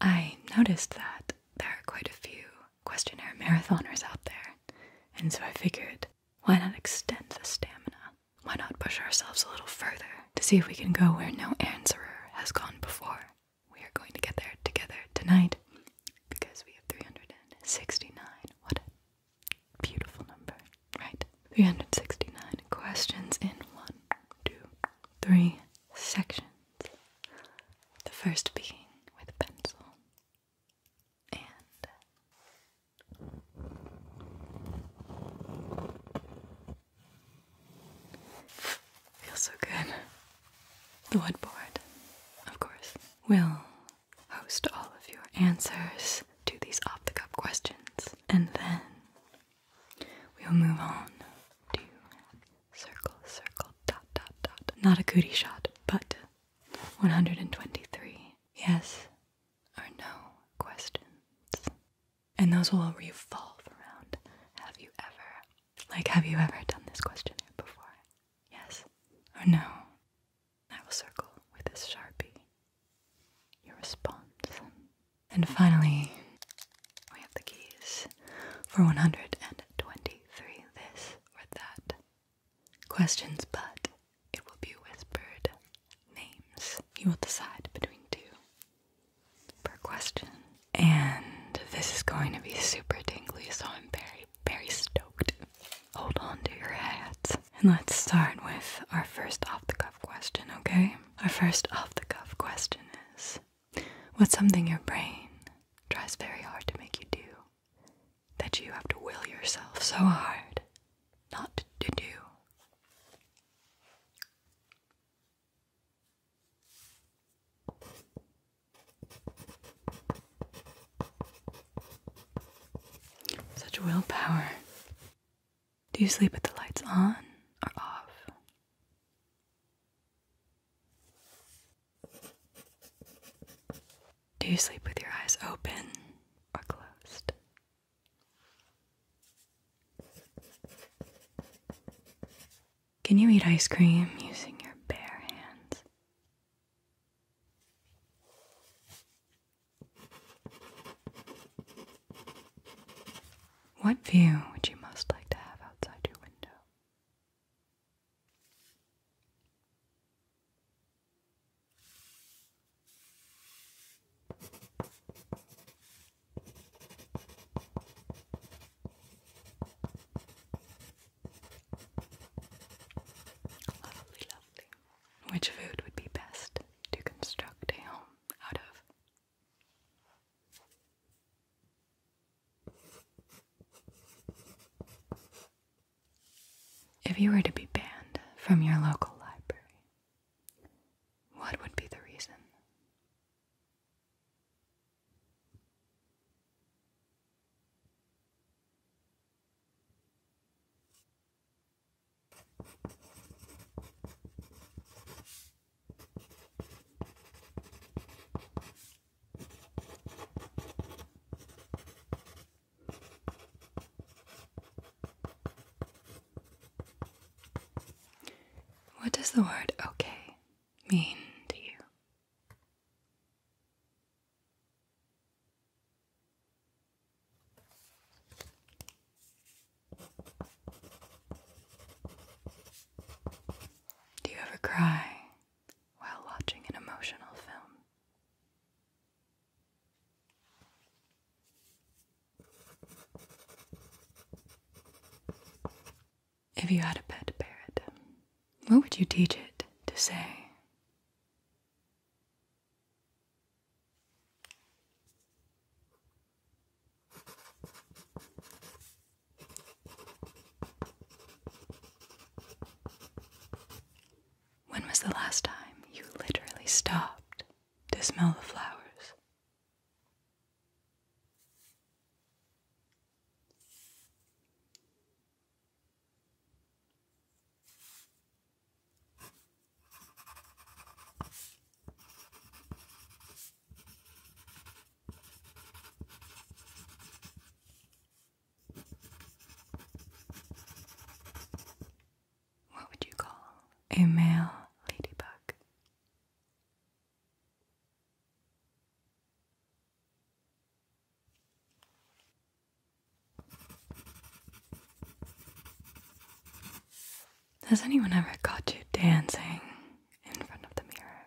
I noticed that there are quite a few questionnaire marathoners out there, and so I figured why not extend the stamina? Why not push ourselves a little further to see if we can go where no answerer has gone before? We are going to get there together tonight because we have 369. What a beautiful number, right? 369 questions in one, two, three sections. The first being with pencil and Feels so good. The woodboard, of course, will host all of your answers to these off the cuff questions, and then we'll move on to circle, circle, dot, dot, dot. Not a cootie shot, but 123 yes or no questions. And those will revolve around have you ever, like, have you ever done this questionnaire before? Yes or no? I will circle with this sharpie your response. And finally, we have the keys for 123 this or that questions, but it will be whispered names. You will decide between two per question. And this is going to be super tingly, so I'm very, very stoked. Hold on to your hats. And let's start with our first off the cuff question, okay? Our first off the cuff question is What's something your brain tries very hard to make you do that you have to will yourself so hard not to do? Such willpower. Do you sleep with the lights on or off? Do you sleep with your eyes open or closed? Can you eat ice cream using your bare hands? What view would you most like to have outside your window? Lovely, lovely. Which food would be best to construct a home out of? If you were to be banned from your local library, what would be the reason? What does the word okay mean to you? Do you ever cry while watching an emotional film? If you had a pet parrot, what would you teach it to say? When was the last time you literally stopped to smell the flowers? What would you call a male ladybug? Has anyone ever caught you dancing in front of the mirror?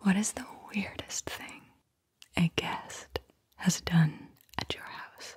What is the weirdest thing a guest has done at your house?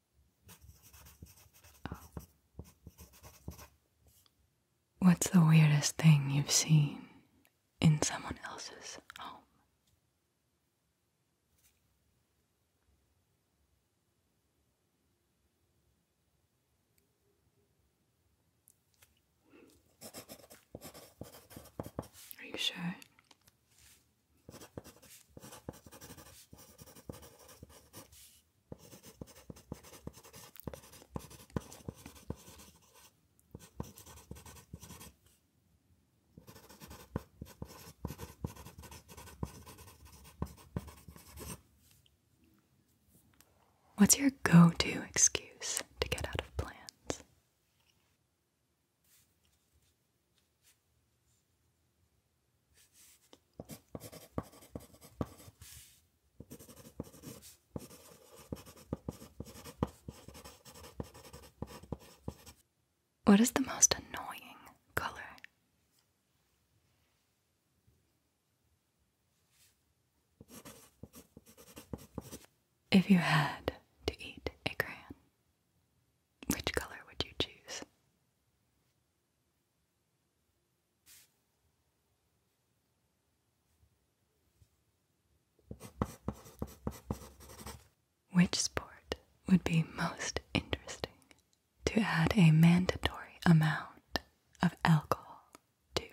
Oh. What's the weirdest thing you've seen in someone else's home? Are you sure? What's your go to excuse to get out of plans? What is the most annoying color? If you had to eat a crayon, which color would you choose? Which sport would be most interesting to add a mandatory amount of alcohol to?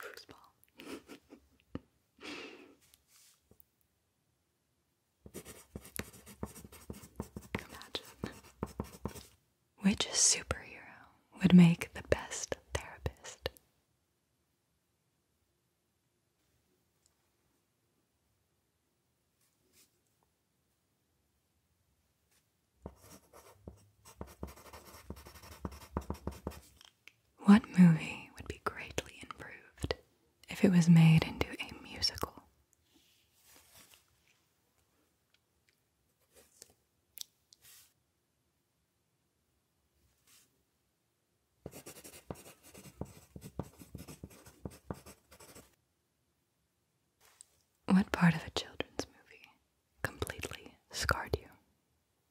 Foosball. Which superhero would make the best therapist? What movie would be greatly improved if it was made into a musical? What part of a children's movie completely scarred you?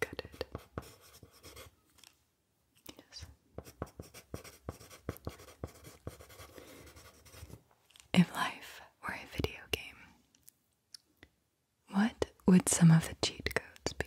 Cut it. Yes. If life were a video game, what would some of the cheat codes be?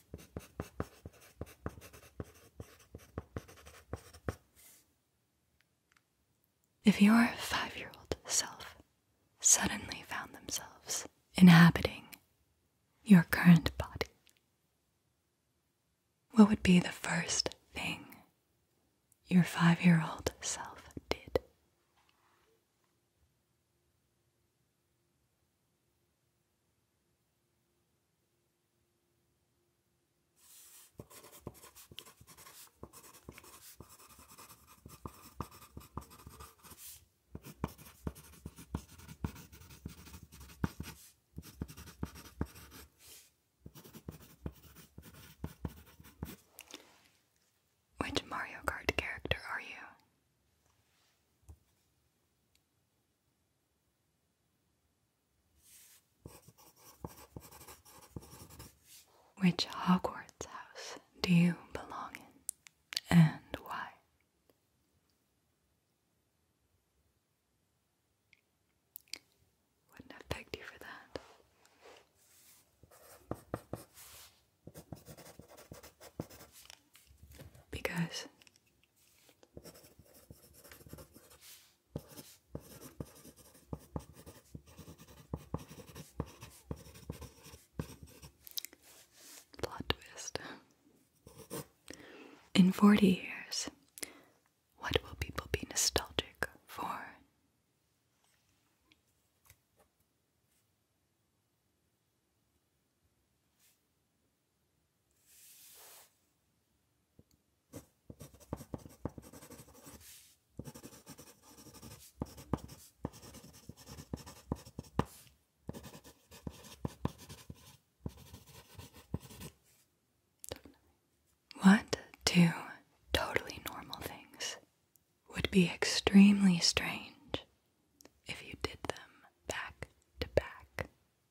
If your five year old self suddenly found themselves inhabiting your current body, what would be the first thing your five year old self did? Which Mario Kart character are you? Which Hogwarts house do you belong in and why? Wouldn't have pegged you for that. Because Plot twist. In 40 years, what will people be nostalgic for? What two totally normal things would be extremely strange if you did them back to back?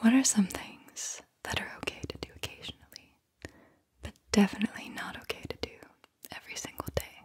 What are some things that are okay to do occasionally, but definitely not okay to do every single day?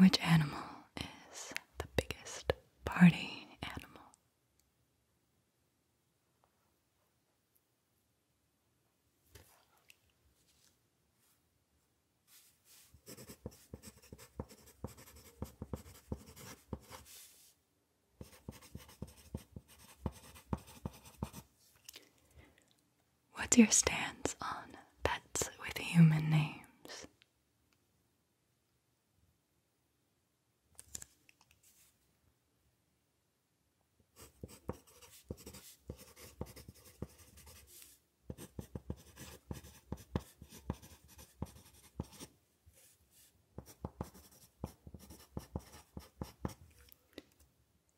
Which animal is the biggest party animal? What's your stance on pets with human names?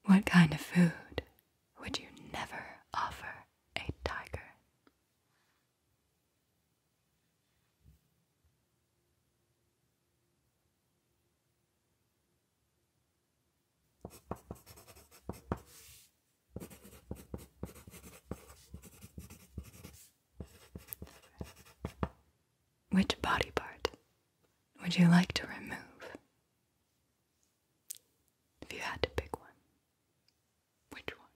What kind of food would you never offer a tiger? Which body part would you like to remove? If you had to pick one, which one?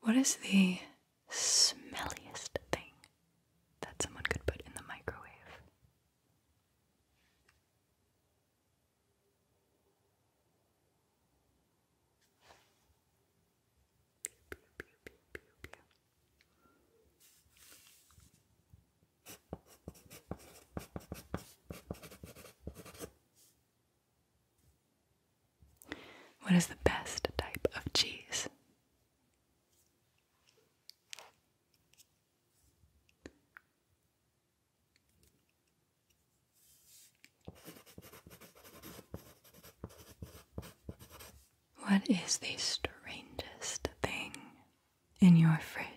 What is the smelliest thing that someone could put in the microwave what is the best type of cheese? What is the strangest thing in your fridge?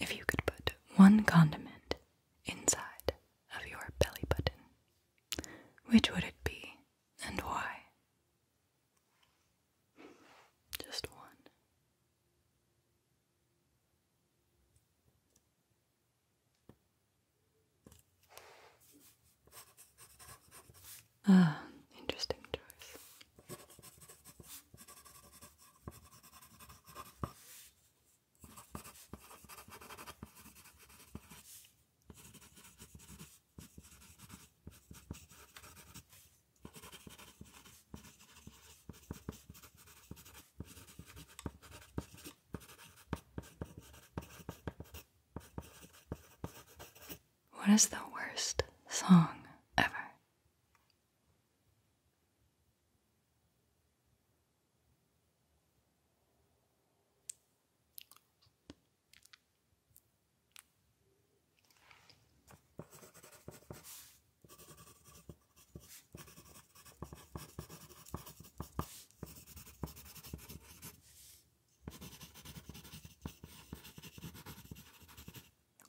If you could put one condiment inside of your belly button, which would it be and why? Just one. Ah, interesting choice. What is the worst song ever?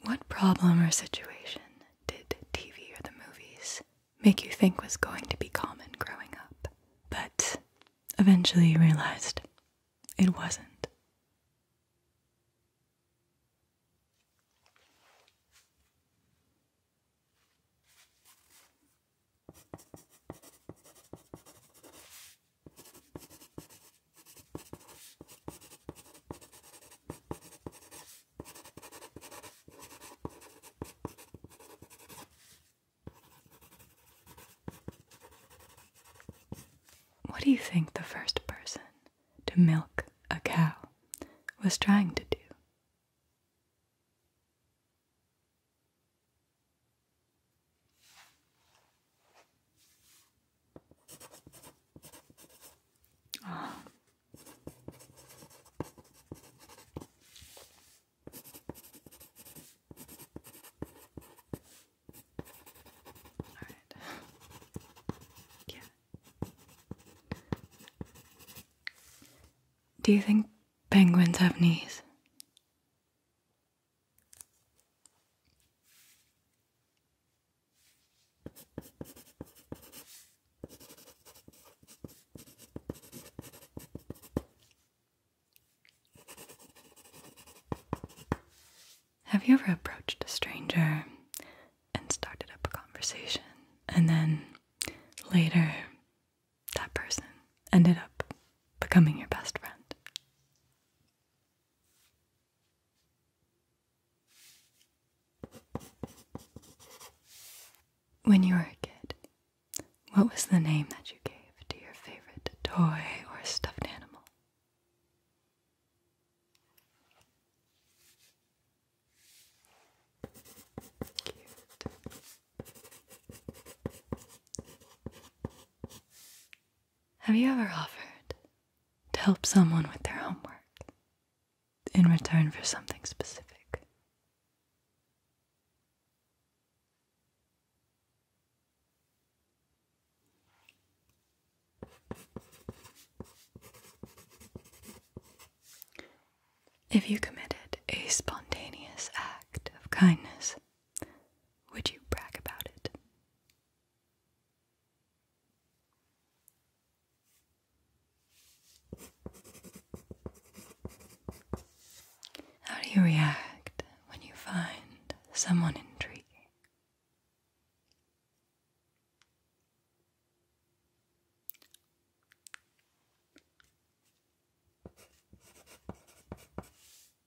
What problem or situation did TV or the movies make you think was going to be common growing up, but eventually you realized it wasn't? What do you think the first person to milk a cow was trying to do? Do you think penguins have knees? Have you ever approached a stranger and started up a conversation, and then later that person ended up becoming your best friend? When you were a kid, what was the name that you gave to your favorite toy or stuffed animal? Have you ever offered to help someone with their homework in return for something specific? If you committed a spontaneous act of kindness, would you brag about it? How do you react when you find someone intriguing?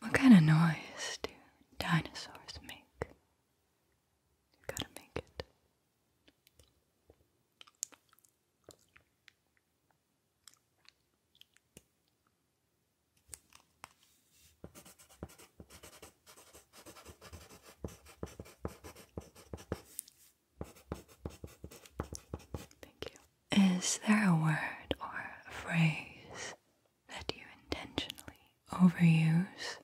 What kind of noise do dinosaurs make? gotta make it. Thank you. Is there a word or a phrase that you intentionally overuse?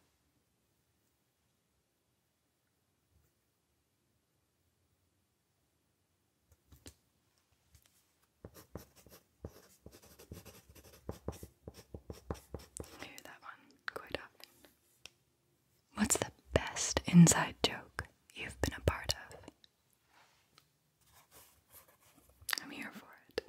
I hear that one quite often. What's the best inside joke you've been a part of? I'm here for it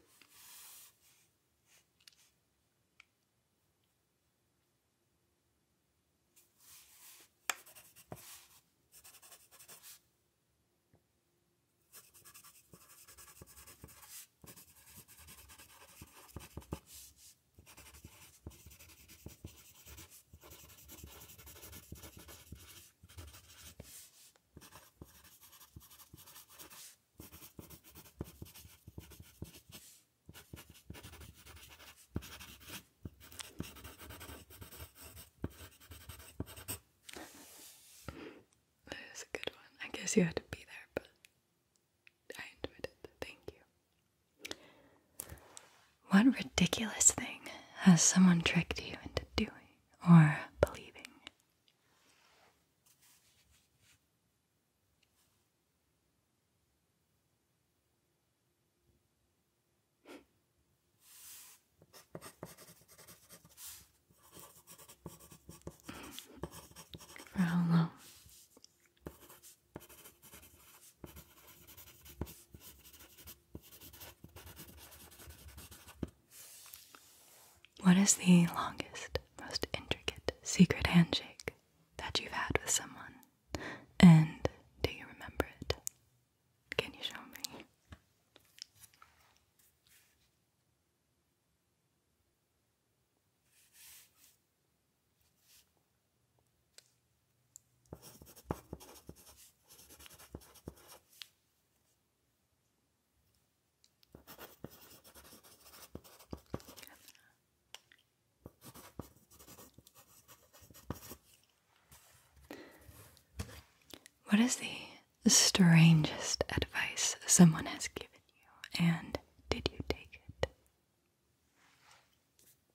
that is a good one. I guess you had to be there, but I enjoyed it. Thank you. What ridiculous thing has someone tricked you into doing or believing? For how long? What is the longest, most intricate secret handshake that you've had with someone? And do you remember it? Can you show me? What is the strangest advice someone has given you, and did you take it?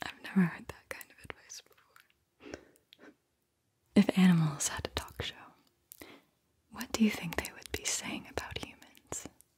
I've never heard that kind of advice before. If animals had a talk show, what do you think they would be saying about humans?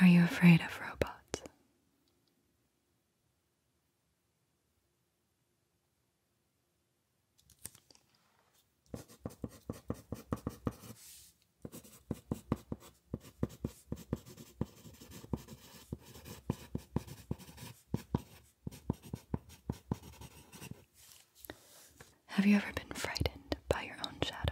Are you afraid of robots? Have you ever been frightened by your own shadow?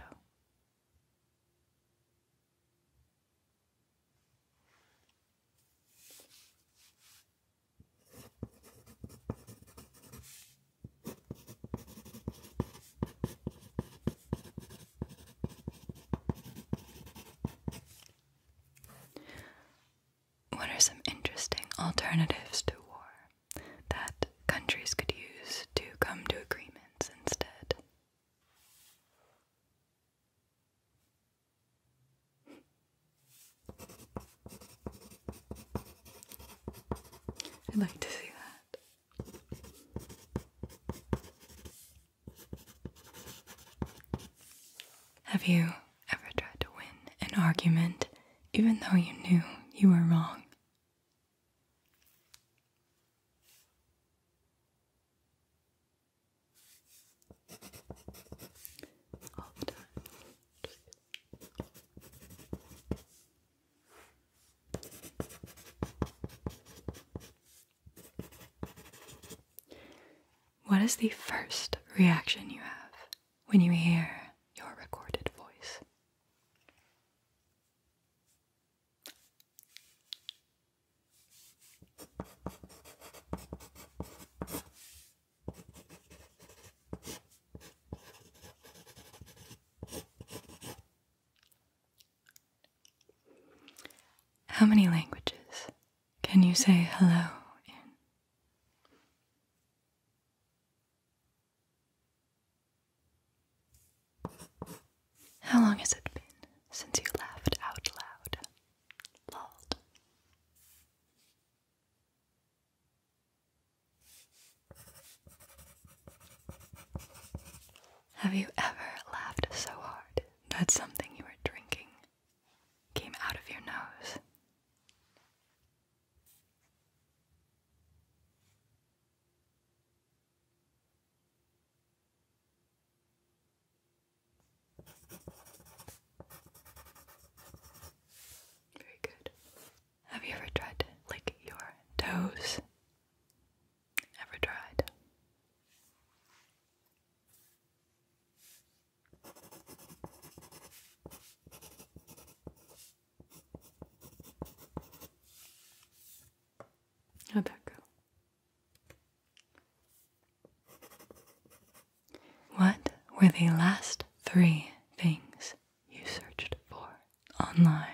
What are some interesting alternatives to war that countries could use to come to agreements instead? I'd like to see that. Have you ever tried to win an argument even though you knew you were wrong? What is the first reaction you have when you hear your recorded voice? How many languages can you say hello in? How long has it been since you laughed out loud? Lulled. Have you ever laughed so hard that something you were drinking came out of your nose? Very good. Have you ever tried to lick your toes? Ever tried? how that go? What were the last three things you searched for online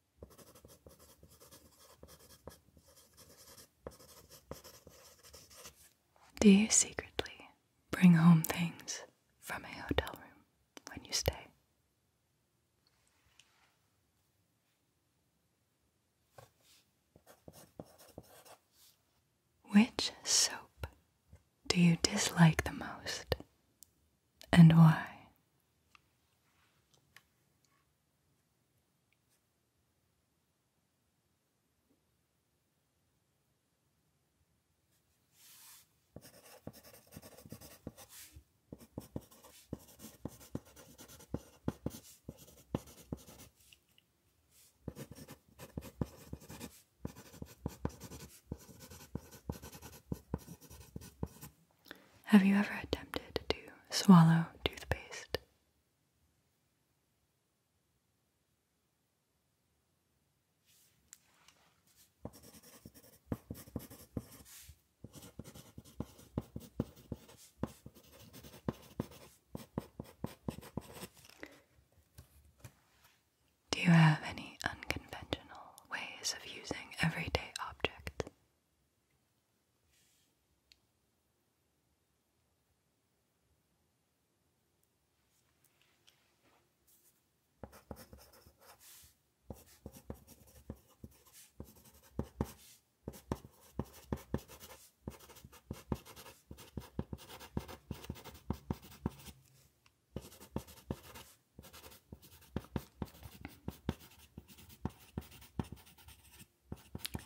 Do you secretly bring home things from a hotel room when you stay? Which soap do you dislike the most and why. Have you ever attempted to swallow toothpaste? Do you have any unconventional ways of using everyday objects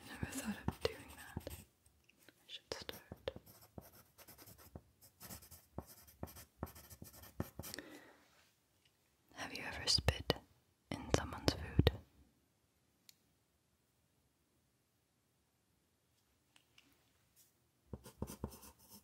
never thought of doing that. I should start. Have you ever spit in someone's food?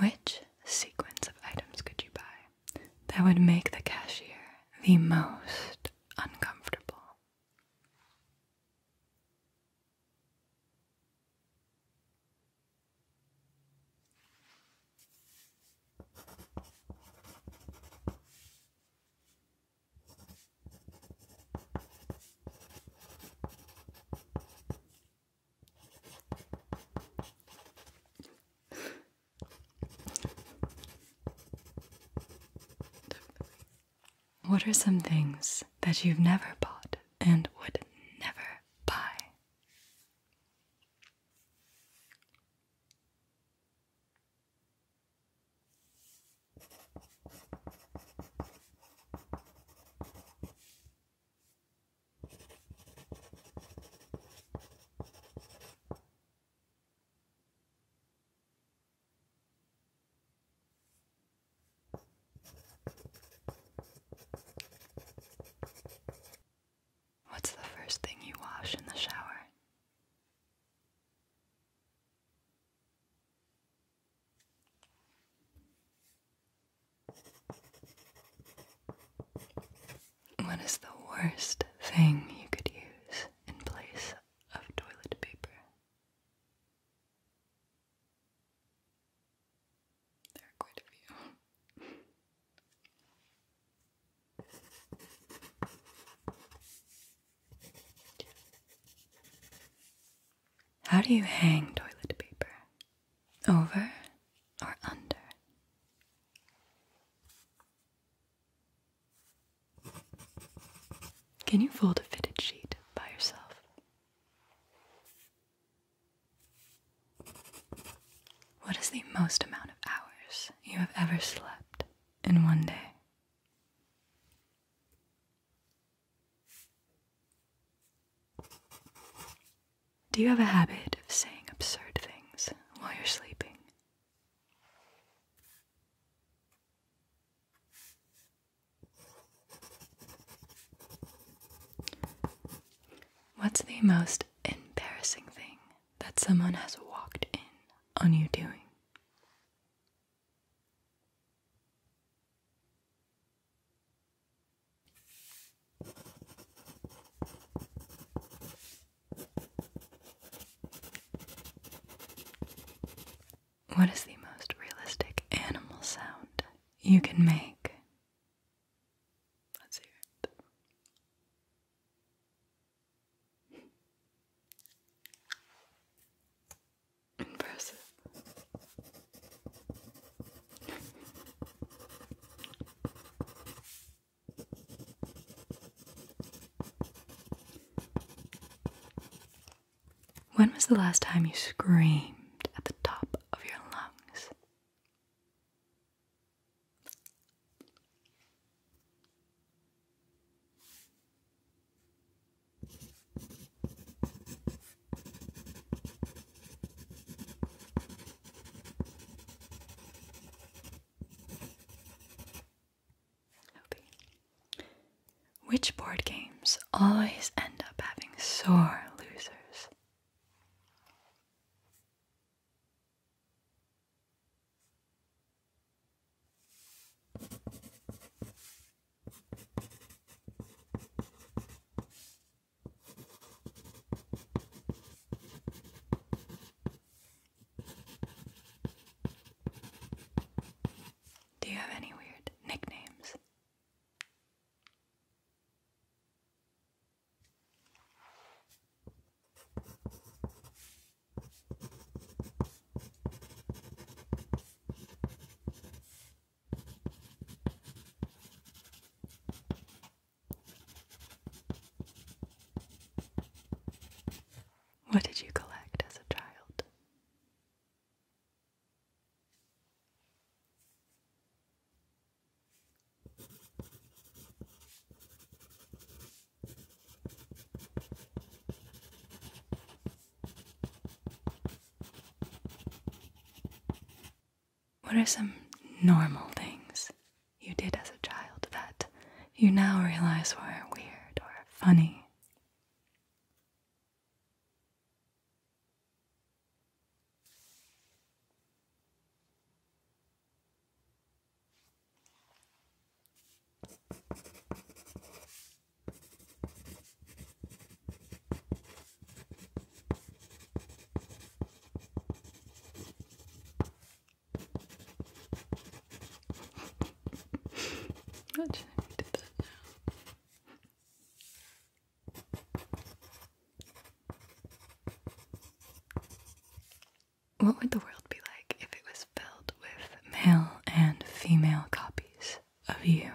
Which sequence of items could you buy that would make the cashier the most uncomfortable? What are some things that you've never bought and would never buy? What's the first thing you wash in the shower? What is the worst thing you could use in place of toilet paper? There are quite a few. How do you hang toilet paper? Over or under? Can you fold a fitted sheet by yourself? What is the most amount of hours you have ever slept in one day? Do you have a habit of saying absurd things while you're sleeping? What's the most embarrassing thing that someone has walked in on you doing? What is the most realistic animal sound you can make? Let's hear it. Impressive. When was the last time you screamed at the top of your lungs? Hoping. Which board games always end up having sore losers? Do you have any weird nicknames? What did you collect as a child? What are some normal things you did as a child that you now realize were weird or funny? What would the world be like if it was filled with male and female copies of you?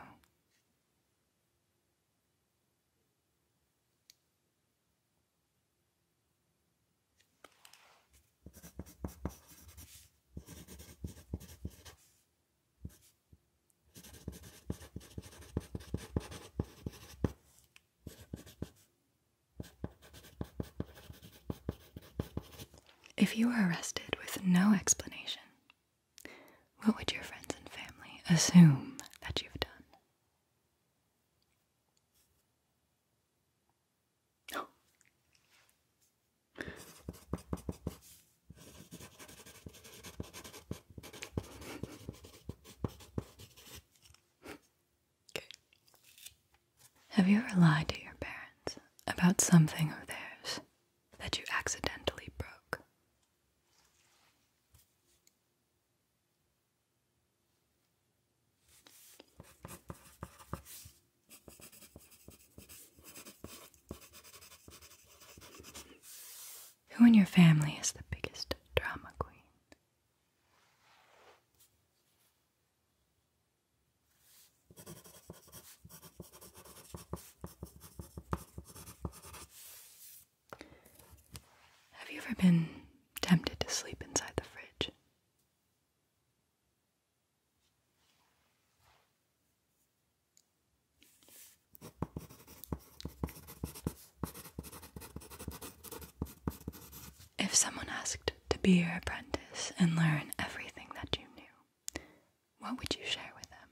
If you were arrested with no explanation, what would your friends and family assume that you've done? Have you ever lied to your parents about something of theirs that you accidentally broke? Who in your family is the biggest drama queen? Have you ever been tempted to sleep inside the fridge? If someone asked to be your apprentice and learn everything that you knew, what would you share with them?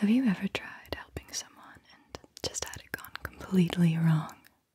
Have you ever tried helping someone and just had it gone completely wrong?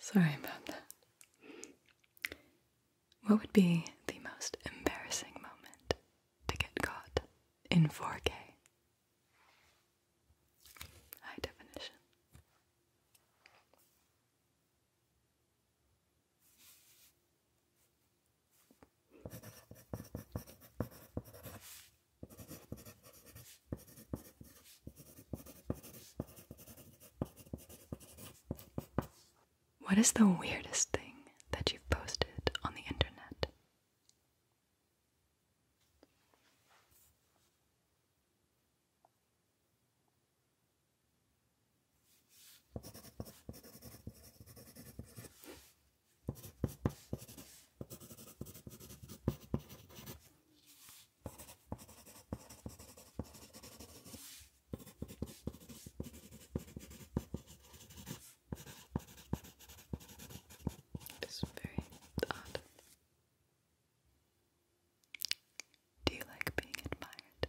Sorry about that. What would be the most embarrassing moment to get caught in 4K? High definition. What is the weirdest thing that you've posted on the internet? It's very odd. Do you like being admired?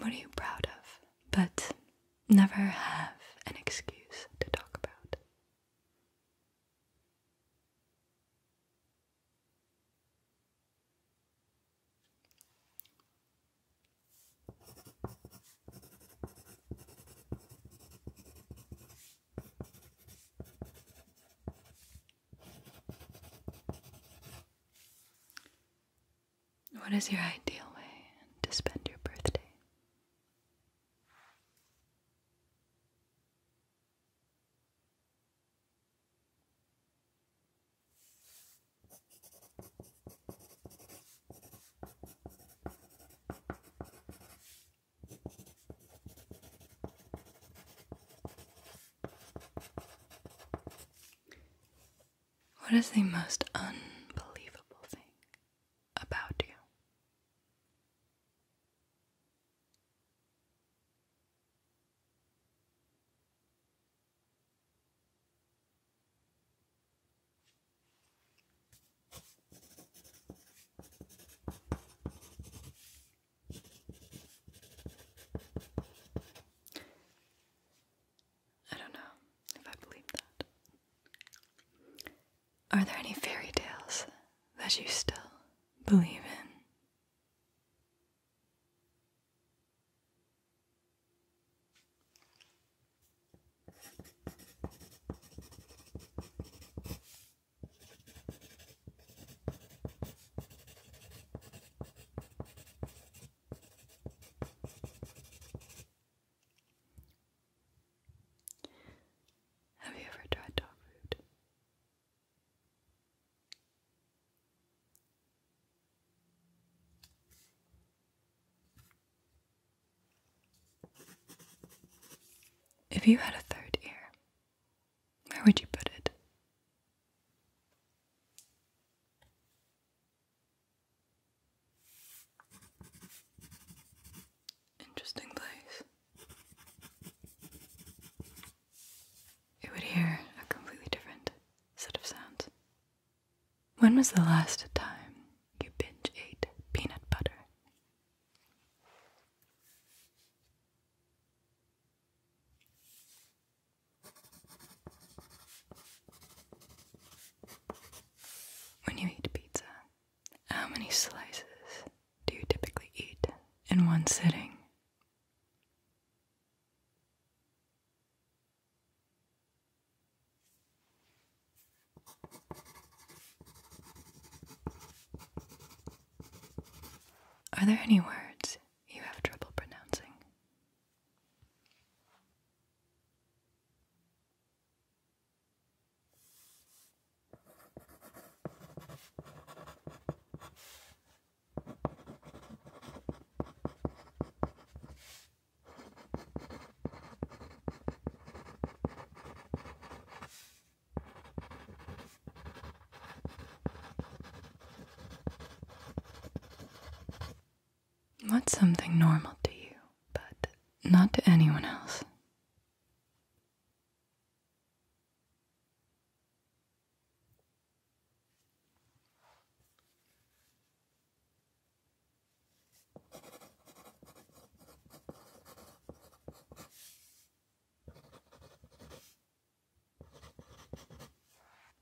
What are you proud of, but never have an excuse to talk about? What is your ideal way to spend your birthday? What is the most unbelievable thing about you? I don't know if I believe that. Are there any fairy tales that you still believe in? Have you ever tried dog food? If you had a third ear, where would you put it? interesting place. You would hear a completely different set of sounds. When was the last time you binge ate peanut butter? When you eat pizza, how many slices do you typically eat in one sitting? Are there any words you have trouble pronouncing? What's something normal to you, but not to anyone else?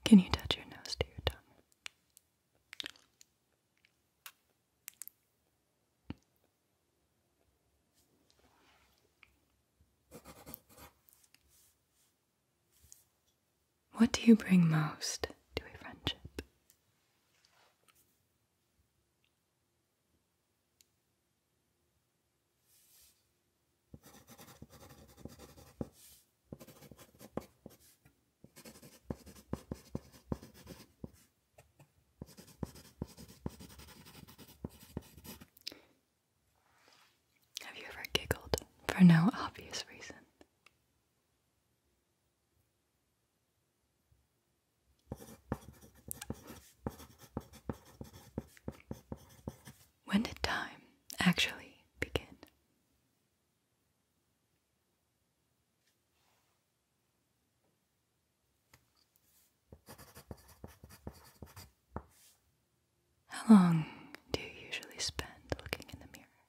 Can you touch your nose to your tongue? What do you bring most to a friendship? Have you ever giggled for no obvious reason? When did time actually begin? How long do you usually spend looking in the mirror?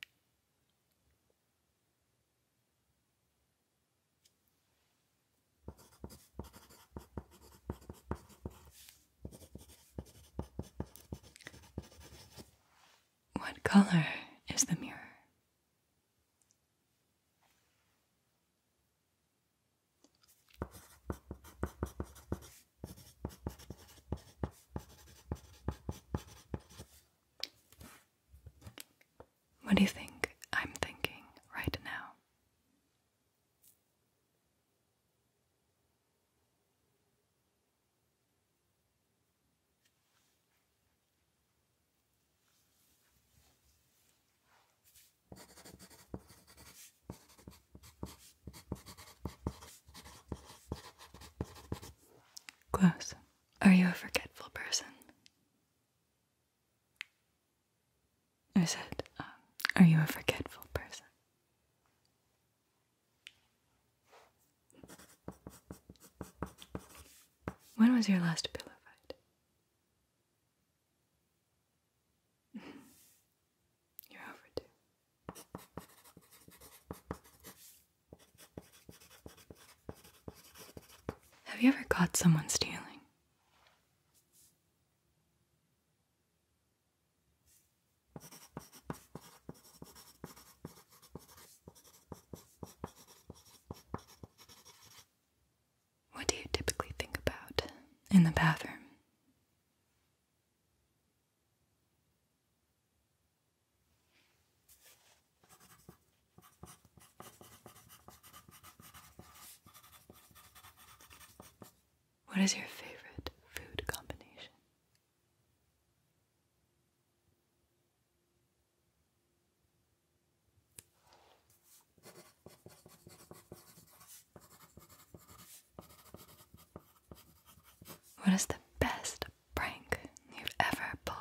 What color is the mirror? What do you think I'm thinking right now? Close. Are you a forgetful person? I said, um, Are you a forgetful person? When was your last pillow fight? You're overdue. Have you ever caught someone stealing? What do you typically think about in the bathroom? What is your favorite food combination? What is the best prank you've ever pulled?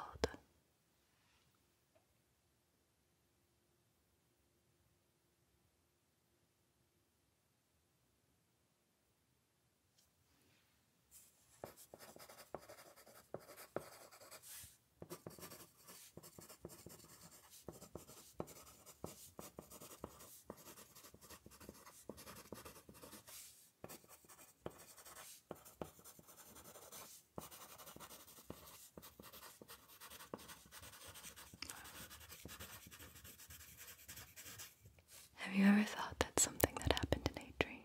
Have you ever thought that something that happened in a dream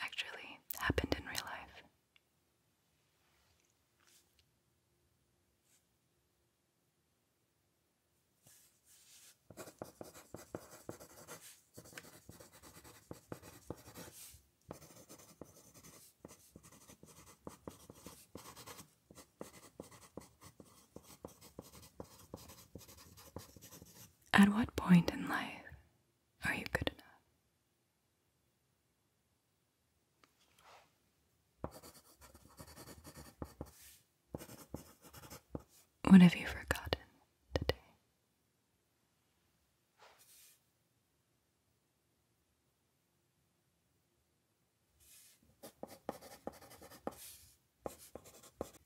actually happened in real life? At what point in life are you good enough? What have you forgotten today?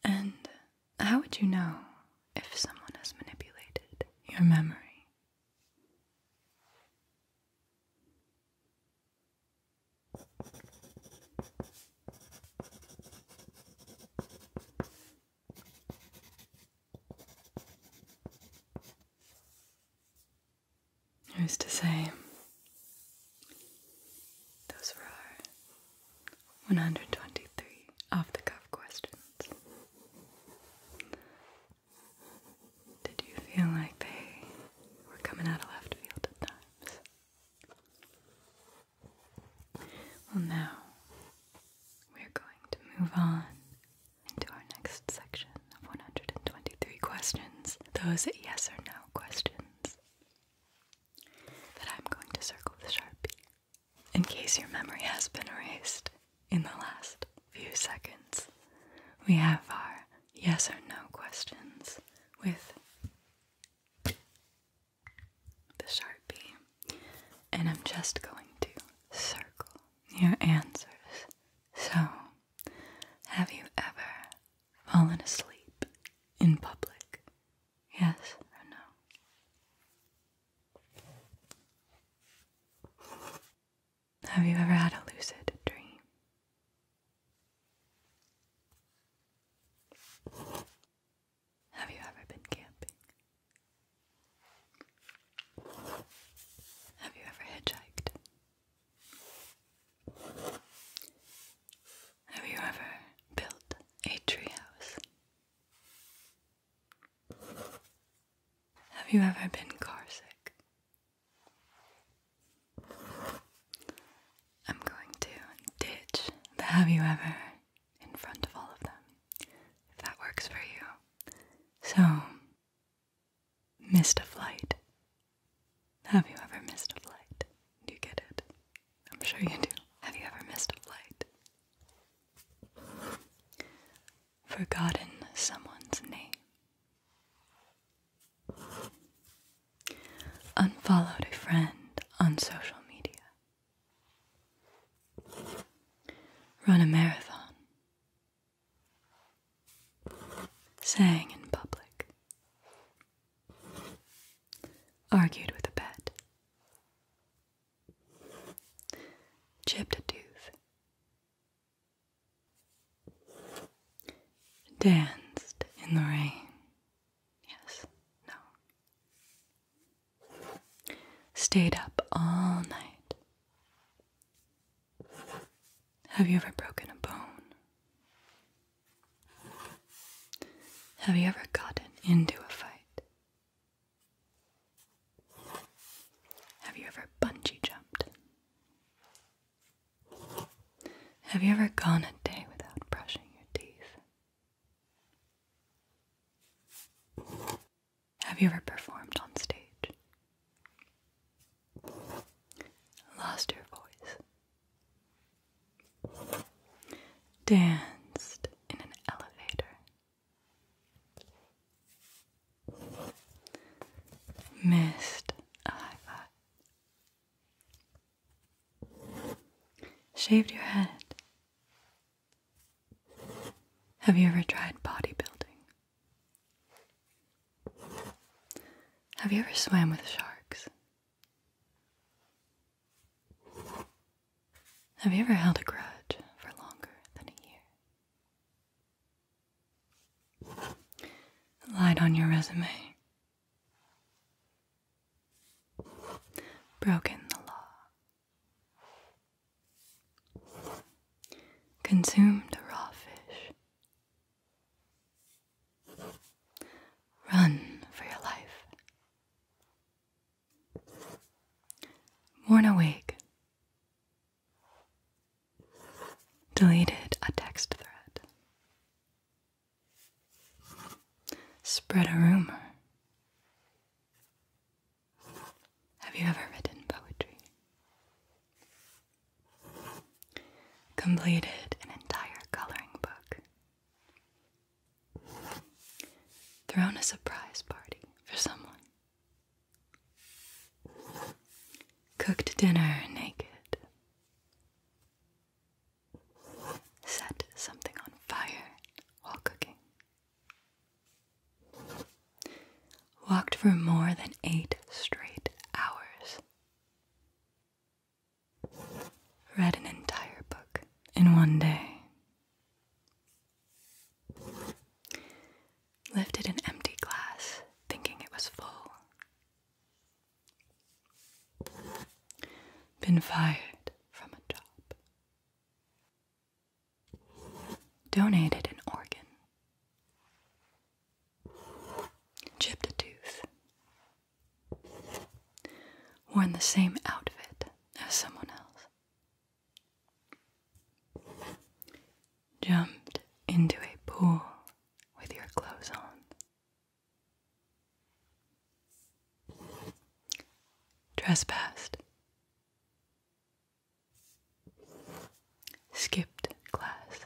And how would you know if someone has manipulated your memory? Who's to say? Those were our 123 off the cuff questions. Did you feel like they were coming out of left field at times? Well, now we're going to move on into our next section of 123 questions, those yes or no questions that I'm going to circle with Sharpie in case your memory has been erased in the last few seconds, we have our yes or no questions with the Sharpie. And I'm just going to circle your answers. So, have you ever fallen asleep in public? Yes or no? Have you ever had a lucid dream? Have you ever been camping? Have you ever hitchhiked? Have you ever built a treehouse? Have you ever been carsick? I'm going to ditch the have you ever in front of all of them, if that works for you. So, missed a flight. Have you ever missed a flight? Do you get it? I'm sure you do. Have you ever missed a flight? Forgotten someone's name. Unfollowed a friend on social media. Run a marathon. Sang in public. Argued with a pet. Chipped a tooth. Danced in the rain. Yes, no. Stayed up all night. Have you ever broken a bone? Have you ever gotten into a fight? Have you ever bungee jumped? Have you ever gone a day without brushing your teeth? Have you ever performed on stage? Lost your voice? Danced in an elevator? Missed Shaved your head. Have you ever tried bodybuilding? Have you ever swam with sharks? Have you ever held a grudge for longer than a year? Lied on your resume. Broken the law. Consumed raw fish. Run for your life. Worn awake. Deleted a text thread. Spread a rumor. Have you ever written poetry? Completed an entire coloring book. Thrown a surprise party for someone. Cooked dinner naked. Set something on fire while cooking. Walked for more than eight straight hours. Read an entire book in one day. Lifted an empty glass, thinking it was full, been fired from a job. Donated an organ. Chipped a tooth. Worn the same outfit as someone else. Jumped into a pool with your clothes on. Trespassed. Skipped class.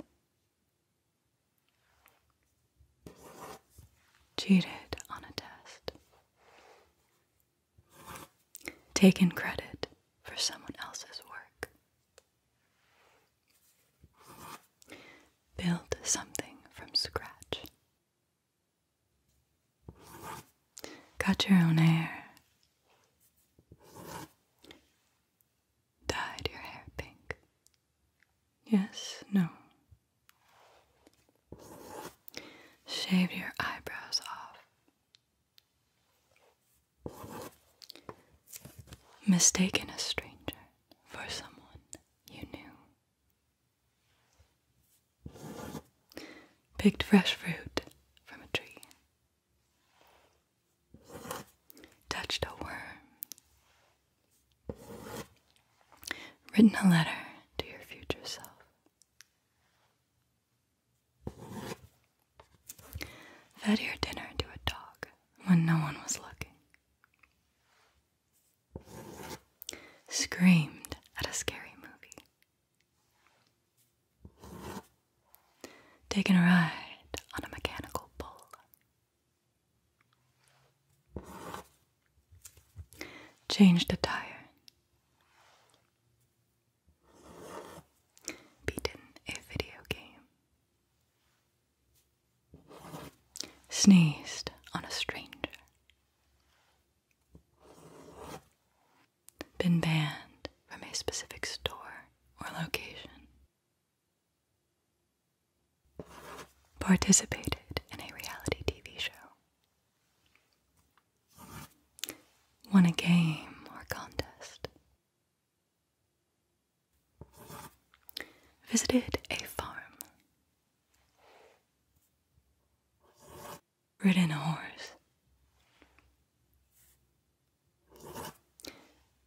Cheated on a test. Taken credit for someone else's work. Build something from scratch. Cut your own hair. Dyed your hair pink. Yes, no. Shave your eyebrows off mistaken a stranger for someone you knew, picked fresh fruit from a tree, touched a worm, written a letter to your future self. Fed your dinner to a dog when no one was looking. Screamed at a scary movie. Taking a ride on a mechanical bull. Changed a tire. Beaten a video game sneezed on a stranger, been banned from a specific store or location, participated in a reality TV show, won a game or contest. Visited a farm. Ridden a horse.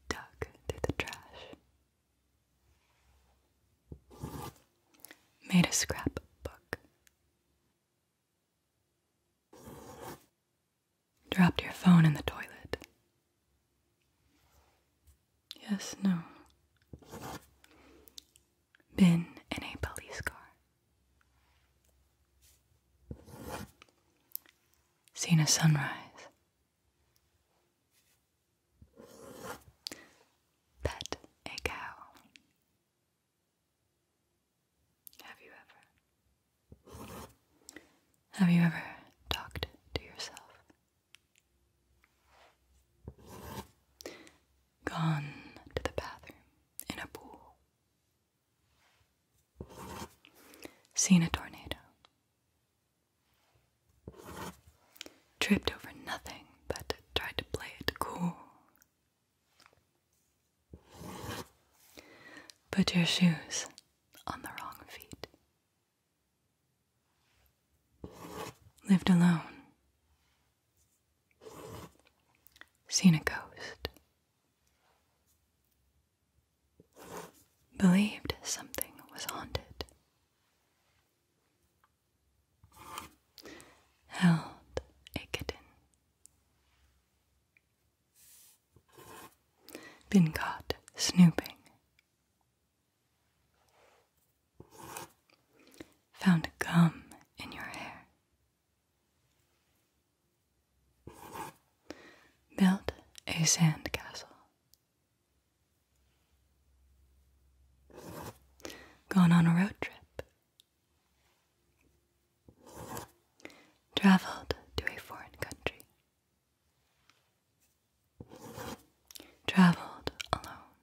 Dug through the trash. Made a scrapbook dropped your phone in the toilet. Yes, no. Been in a police car. Seen a sunrise. Pet a cow. Have you ever? Have you ever talked to yourself? Gone to the bathroom in a pool? Seen a tornado? Tripped over nothing but tried to play it cool? Put your shoes on the wrong feet. Lived alone. Seen a ghost. Believed something was haunted. Held a kitten. Been caught snooping Found gum in your hair. Built a sand castle. Gone on a road trip. Traveled to a foreign country. Traveled alone.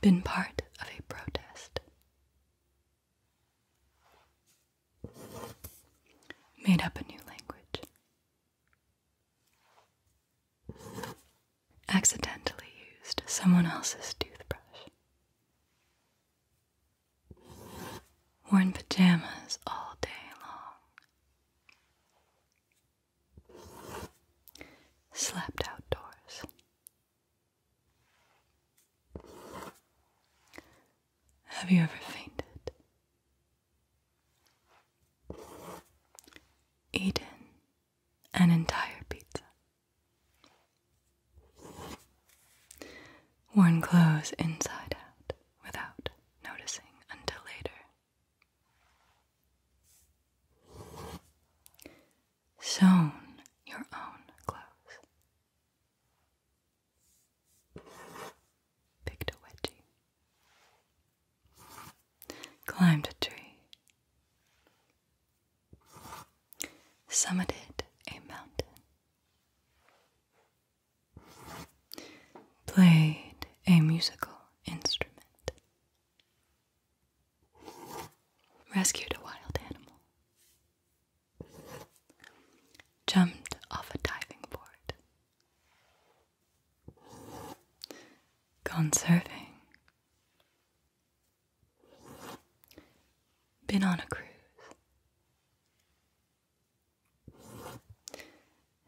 Been part of a protest. Made up a new language. Accidentally used someone else's toothbrush. Worn pajamas all day long, slept outdoors. Have you ever fainted? Eaten an entire pizza? Worn clothes inside out without noticing until later. Sewn your own clothes. Picked a wedgie. Climbed a tree. Summited a mountain played a musical instrument, rescued a wild animal, jumped off a diving board, gone surfing. Been on a cruise,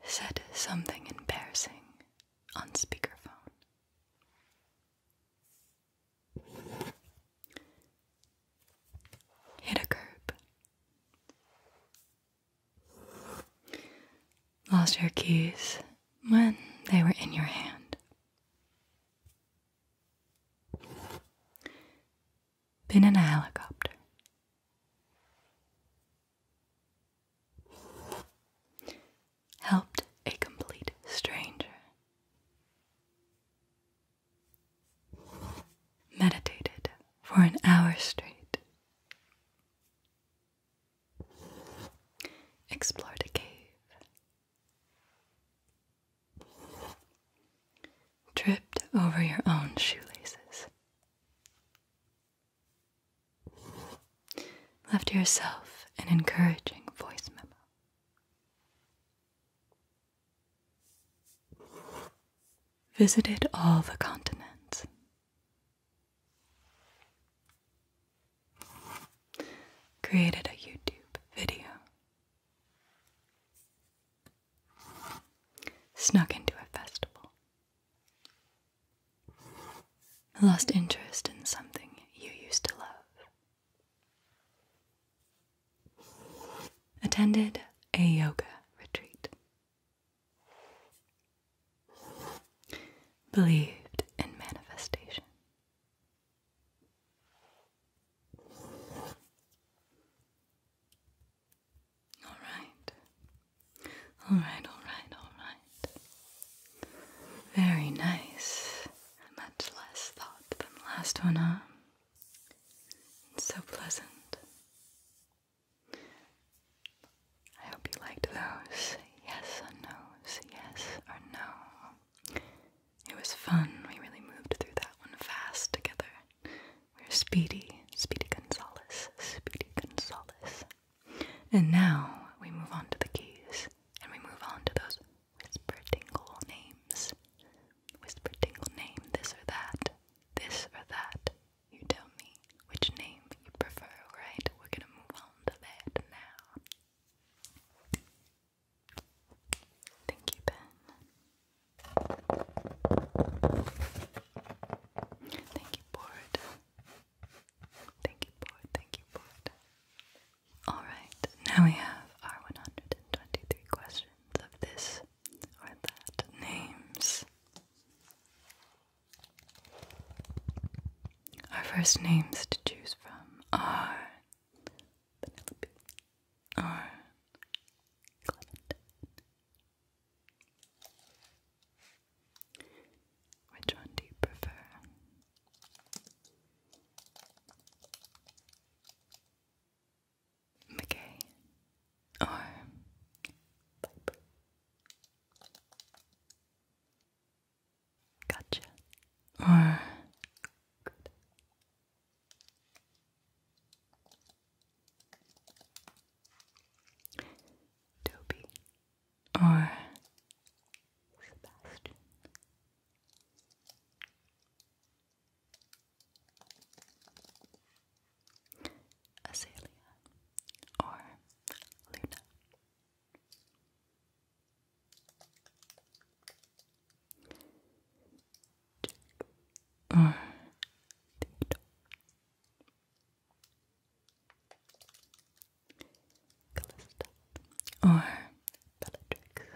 Said something embarrassing on speakerphone. Hit a curb. Lost your keys when they were in your hand been in a helicopter. Helped a complete stranger. Meditated for an hour straight. Explored a cave tripped over your own shoelaces. Left yourself an encouraging voice memo. Visited all the continents. Created a YouTube video Snuck into a festival. Lost interest in something you used to love. Attended a yoga retreat. Believed in manifestation. All right. All right, all right, all right. Very nice. Much less thought than the last one, huh? so pleasant. I hope you liked those. Yes or no's. Yes or no. It was fun. We really moved through that one fast together. We're Speedy, Speedy Gonzalez, Speedy Gonzalez. And now we move on to the keys, and we move on to those whisper tingle names. Whisper tingle name, this or that, this or that. You tell me which name you prefer, right? We're gonna move on to that now. Thank you, Ben. Thank you, board. Thank you, board. Thank you, board. Alright, now we have our 123 questions of this or that names. Our first names to choose from are which one do you prefer? McKay or Piper? Gotcha. Toby or Sebastian. Azalea or Luna or Theodore. or Bellatrix.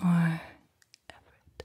or Everett.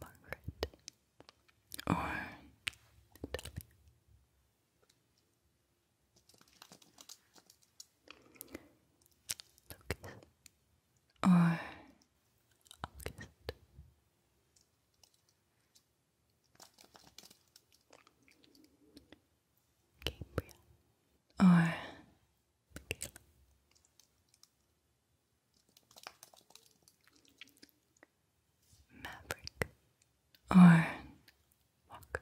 Margaret or Lucas or August. Gabriel or Maverick or Walker.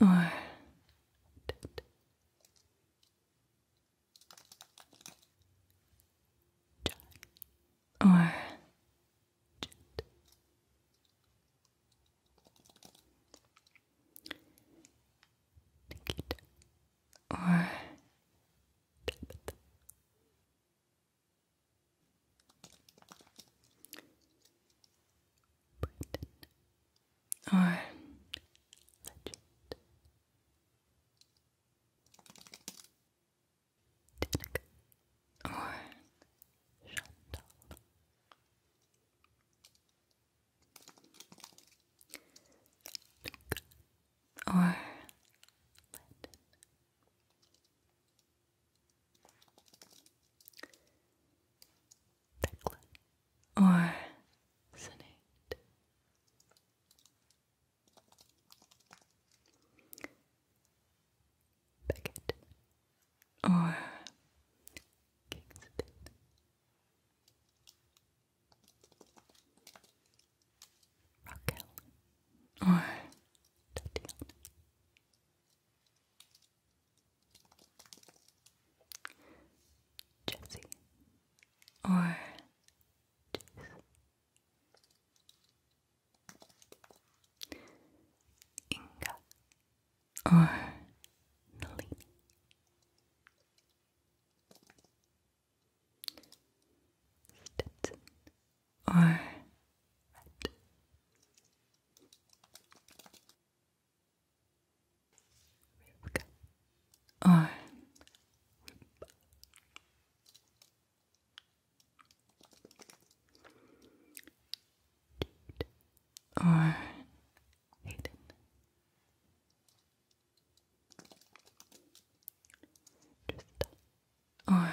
or John or Nikita or Tabitha. Brighton or Legend or Chantal. Or Landon. Thecla. Or Senate. Beckett or Kingston. Raquel or Tatiana. Jesse or Jess Inga or Nalini. Stetson or Red. Rivka or or Hayden. Trista or Maddox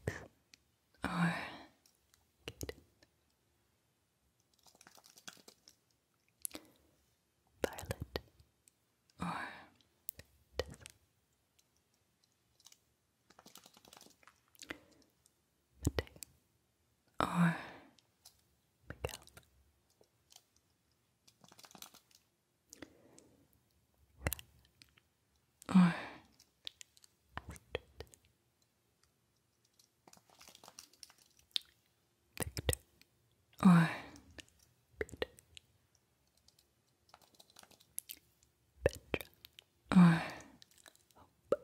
or Caden Violet or Tessa. Mateo or Miguel. Or Astrid. or Peter Petra or Date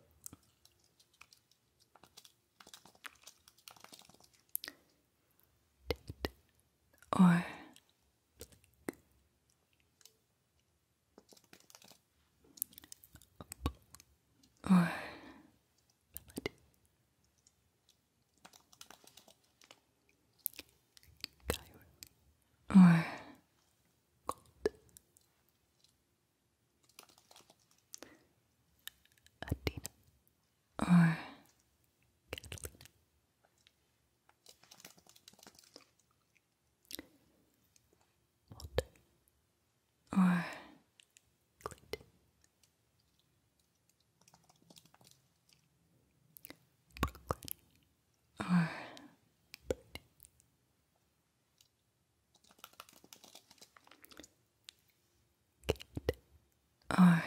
or or Melody. Or cold. Adina or Catalina. Walter or Clayton Brooklyn or Brooklyn. Kate or Andre. Delta or Esmeralda.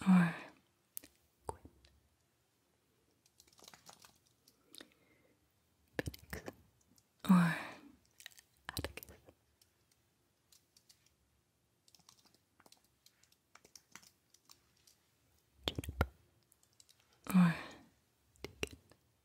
Claire or Quinn. or Atticus. Juniper or Deacon.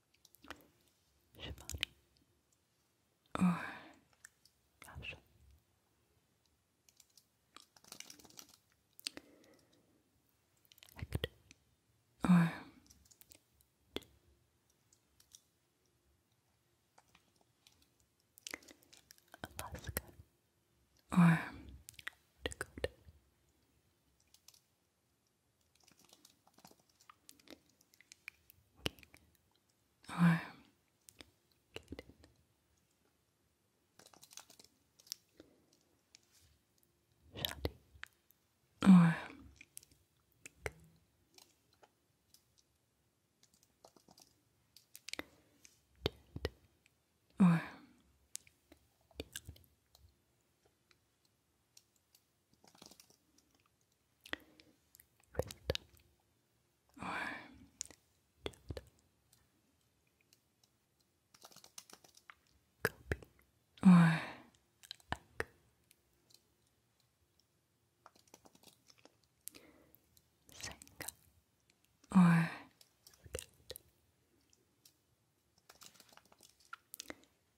Shivani or Russia. or Alaska or Dakota or Caden. Shoddy. Or Jared. Or Crystal or Jade. Kobe or Ike. Senka or Scout.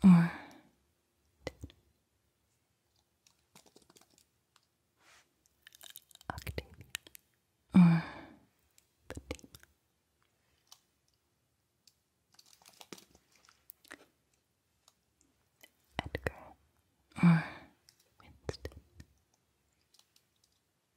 Franklin or David. or Edgar or Winston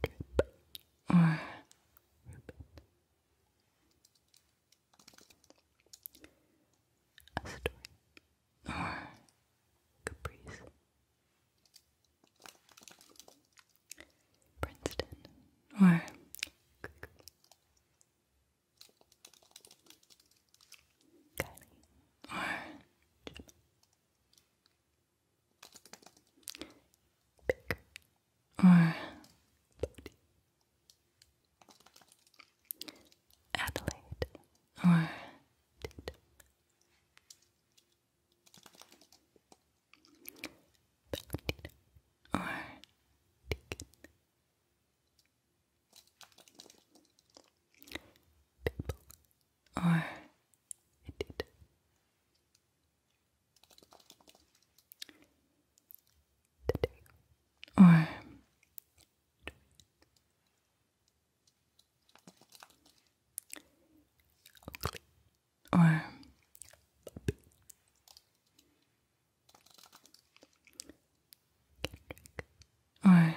clip or ribbon. or caprice. Princeton or Kylie or Pick or Adelaide or Valentina or Deacon or oh, it Today. Or oh. Oakley. Oh. Or Or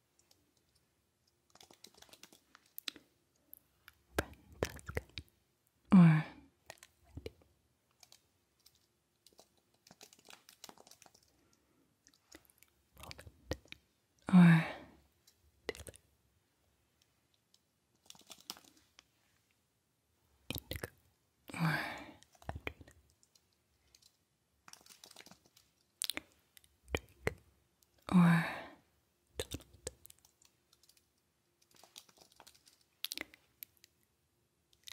Francesca or Roland or Indigo or Adriana Drake or Donald.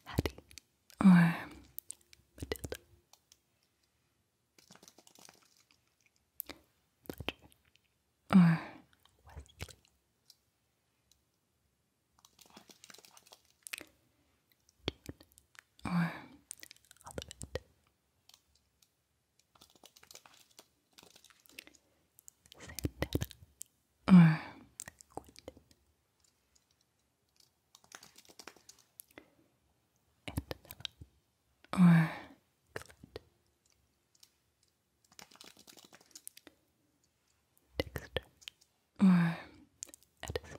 Hattie or Matilda. Fletcher or Wesley or all of it. or Quentin. or Clint. Dexter or Edison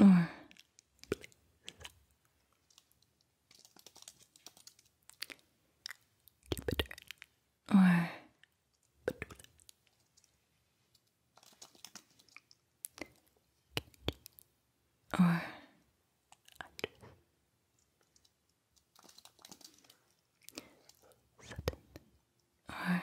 or Jupiter or Petula. or Andres. or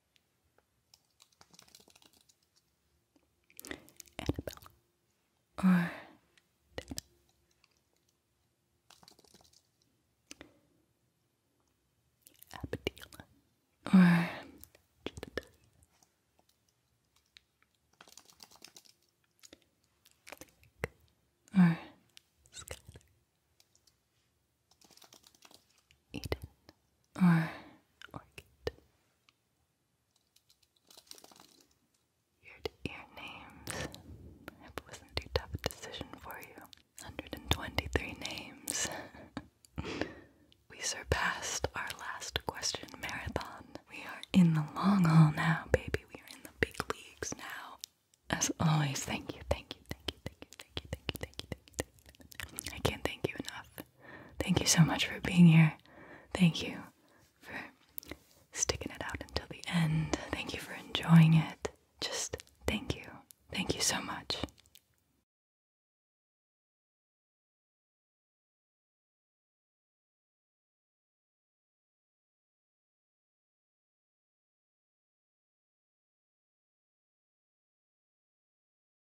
Annabelle or Dana. or Jedediah. or Skyler. Eden or Orchid your names. I hope it wasn't too tough a decision for you. 123 names. we surpassed our last question marathon. We are in the long haul now, baby. We are in the big leagues now. As always, thank you, thank you, thank you, thank you, thank you, thank you, thank you, thank you. Thank you. I can't thank you enough. Thank you so much for being here. Thank you for sticking it out until the end. Thank you for enjoying it. Just thank you. Thank you so much.